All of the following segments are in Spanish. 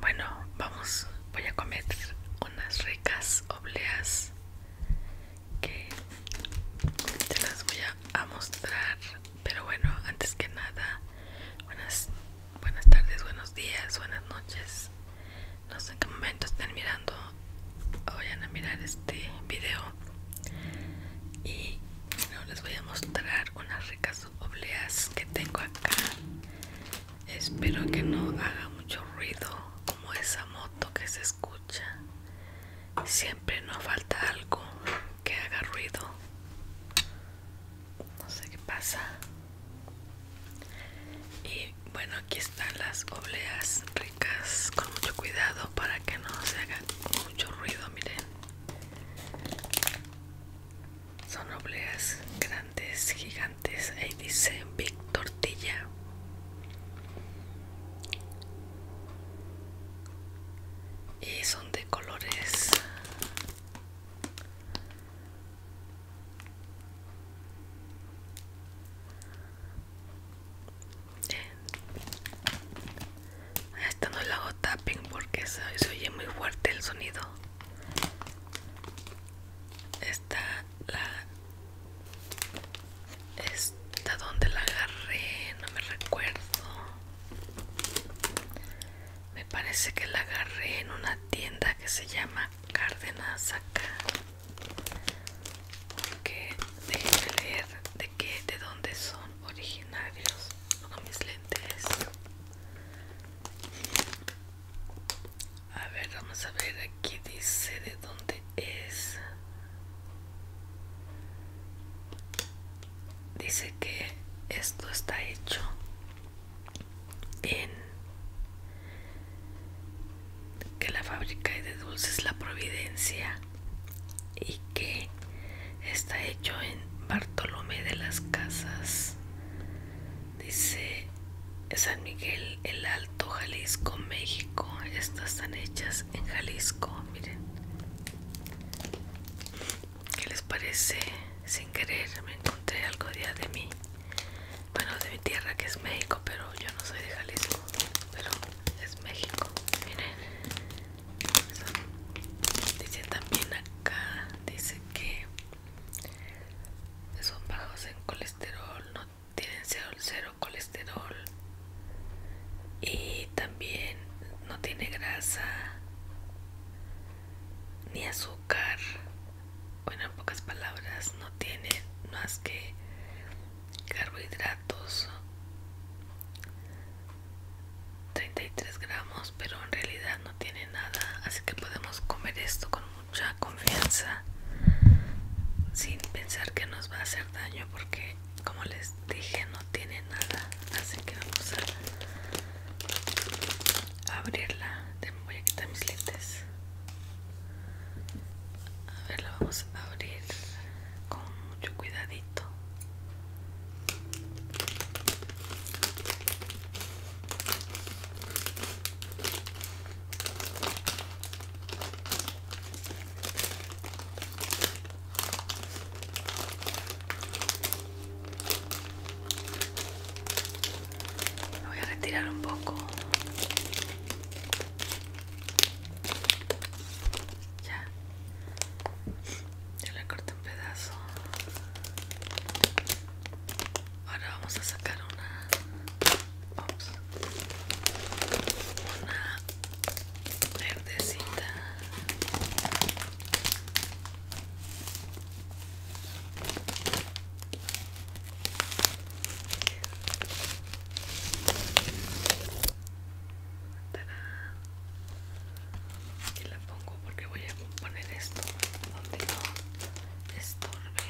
Bueno, vamos, voy a comer unas ricas obleas que te las voy a, mostrar. Pero bueno, antes que nada, buenas, buenas tardes, buenos días, buenas noches. No sé en qué momento están mirando o vayan a mirar este video. Y bueno, les voy a mostrar unas ricas obleas que tengo acá. Espero que no haga mucho ruido como esa moto que se escucha. Siempre nos falta algo que haga ruido. No sé qué pasa. Y bueno, aquí están las obleas ricas con mucho cuidado para que no se haga mucho ruido, miren. Son obleas grandes, gigantes. Ahí dice Big Tortilla. Y son de colores. Esta no la hago tapping porque se, oye muy fuerte el sonido. Esta la esta donde la agarré, no me recuerdo. Me parece que la agarré en una tienda que se llama Cárdenas acá. Porque leer de qué, de dónde son originarios con mis lentes a ver vamos a ver aquí dice de dónde es dice que esto está hecho en que la fábrica de dulces la providencia y que está hecho en Bartolomé de las Casas, dice San Miguel el Alto, Jalisco, México. Estas están hechas en Jalisco, miren. ¿Qué les parece? Sin querer me encontré algo día de mí, bueno de mi tierra que es México, pero yo no soy de Jalisco, pero es México. Miren, Dice también acá, dice que son bajos en colesterol, no tienen cero, colesterol y también no tiene grasa ni azúcar. Bueno, en pocas palabras, no tiene más que carbohidratos 33 gramos pero en realidad no tiene nada así que podemos comer esto con mucha confianza sin pensar que nos va a hacer daño porque como les dije no tiene nada así que vamos a abrirla voy a quitar mis lentes a ver la vamos a abrir con mucho cuidadito voy a retirar un poco ya. Ya la corté un pedazo. Ahora vamos a sacar una. Una verdecita y la pongo porque voy a poner esto donde no estorbe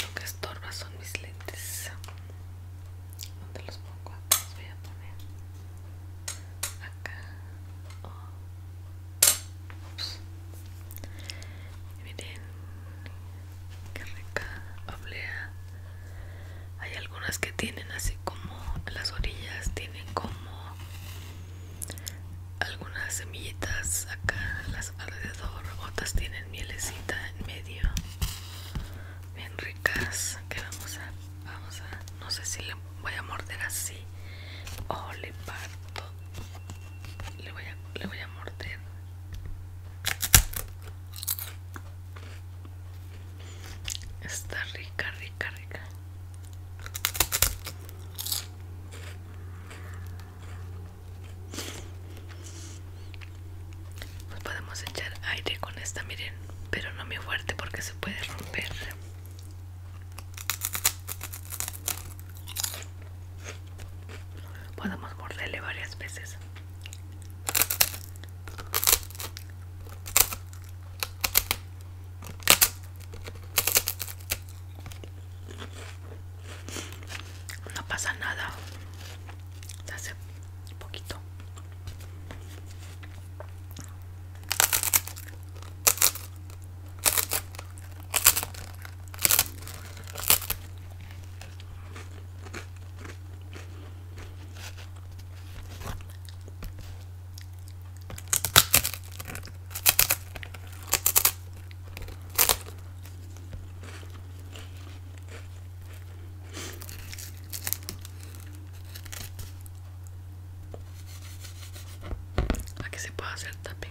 lo que estorba son mis lentes donde los pongo los voy a poner acá oh. miren Qué rica oblea. Hay algunas que tienen así como las orillas, tienen como algunas semillitas acá las alrededor, otras tienen mielecita en medio. Bien ricas. Que vamos a vamos a no sé si le voy a morder así o le parto. Le voy a le voy a morder. Está rica, rica, rica. Pues podemos echar aire con esta, miren, pero no muy fuerte porque se puede romper. Podemos morderle varias veces. No pasa nada. hace poquito a que se puede hacer también?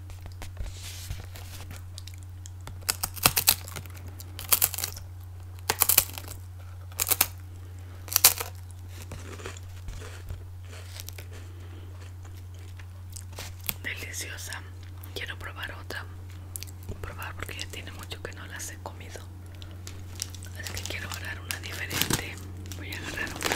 Deliciosa. Quiero probar otra. Probar porque ya tiene mucho que no las he comido. Así que quiero agarrar una diferente. Voy a agarrar otra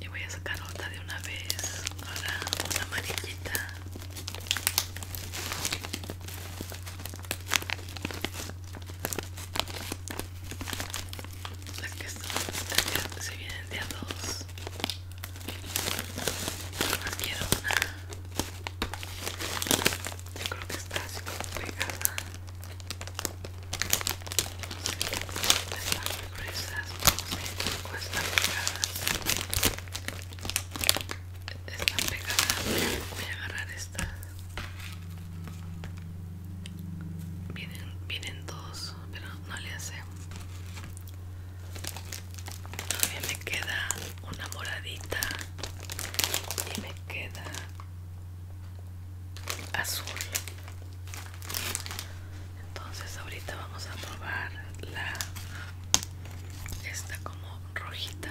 y voy a sacar otra de una vez ahora una amarillita las que se vienen de a dos más quiero una yo creo que está así como pegada están gruesas, no sé tampoco están pegadas. Están pegadas. Voy a agarrar esta. Vienen, dos, pero no le hacemos Todavía me queda una moradita y me queda azul entonces ahorita vamos a probar la esta como rojita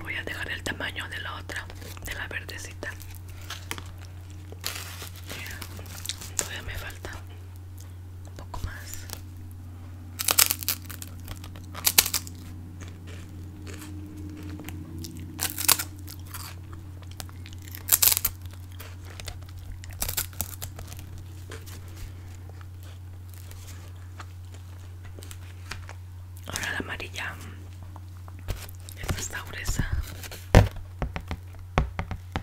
Voy a dejar el tamaño de la otra, de la verdecita. Todavía me falta un poco más Ahora la amarilla esta está gruesa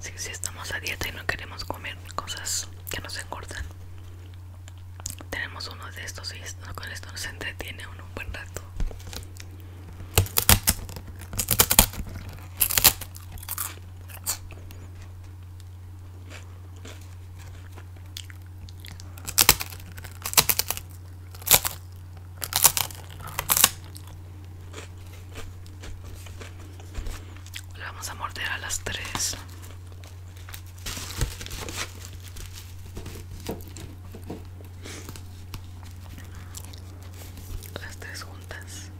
si, estamos a dieta y no queremos comer cosas que nos engordan tenemos uno de estos y con esto nos entretiene un buen rato le vamos a morder a las tres. Las tres juntas.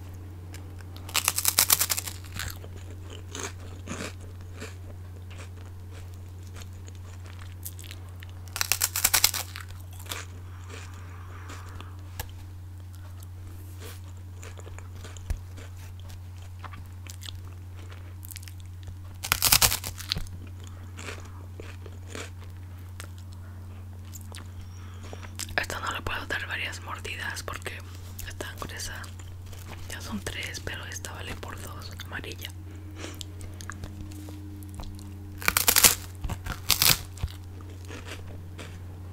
Esta no le puedo dar varias mordidas porque está gruesa. Ya son tres, pero esta vale por dos, amarilla.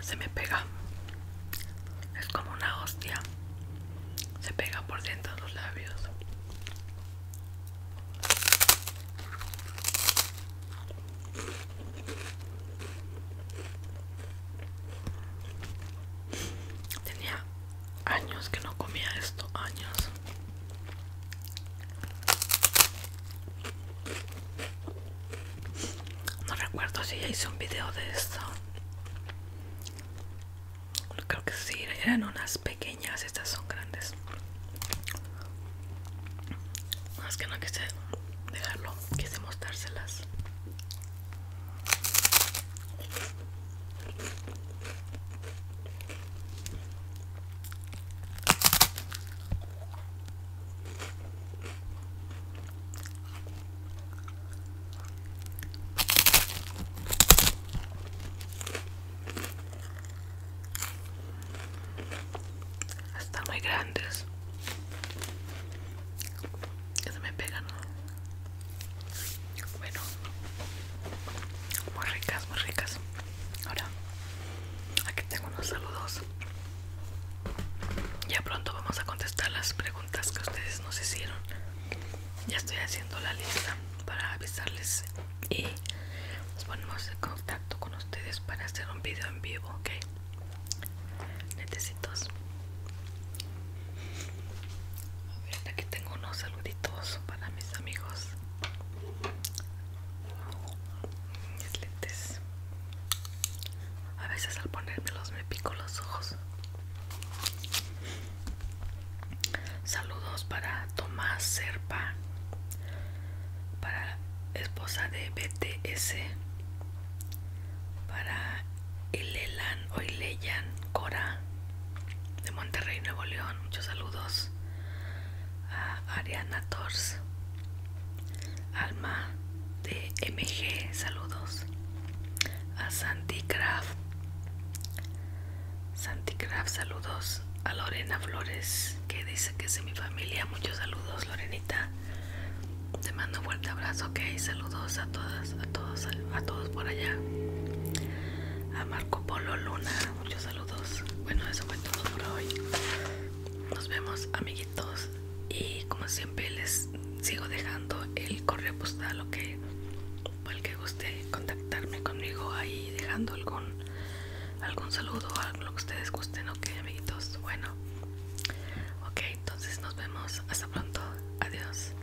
Se me pega. Es como una hostia. Se pega por dentro de los labios. Tenía años que no comía esto, años. No recuerdo si ya hice un video de esto. Creo que sí, eran unas pequeñas, estas son grandes. Más que no quise dejarlo, quise mostrárselas. Están muy grandes. Que se me pegan. Bueno. Muy ricas, muy ricas. Ahora, aquí tengo unos saludos. Ya pronto vamos a contestar las preguntas que ustedes nos hicieron. Ya estoy haciendo la lista para avisarles y nos ponemos en contacto con ustedes para hacer un video en vivo, ¿ok? Necesitos A ver, aquí tengo unos saluditos para mis amigos. A veces al ponérmelos me pico los ojos. Saludos para Tomás Serpa, para esposa de BTS, para Ilelan Cora de Monterrey, Nuevo León. Muchos saludos a Ariana Tors, Alma de MG, saludos, a Santi Craft, Santi Craft, saludos, a Lorena Flores, que dice que es de mi familia, muchos saludos, Lorenita. Te mando un fuerte abrazo, ok. Saludos a todas, a todos, a todos por allá. A Marco Polo Luna muchos saludos. Bueno, eso fue todo por hoy. Nos vemos, amiguitos. Y como siempre, les sigo dejando el correo postal, ok. Para el que guste contactarme conmigo ahí, dejando algún, algún saludo, algo que ustedes gusten, ok, amiguitos. Bueno, ok, entonces nos vemos. Hasta pronto. Adiós.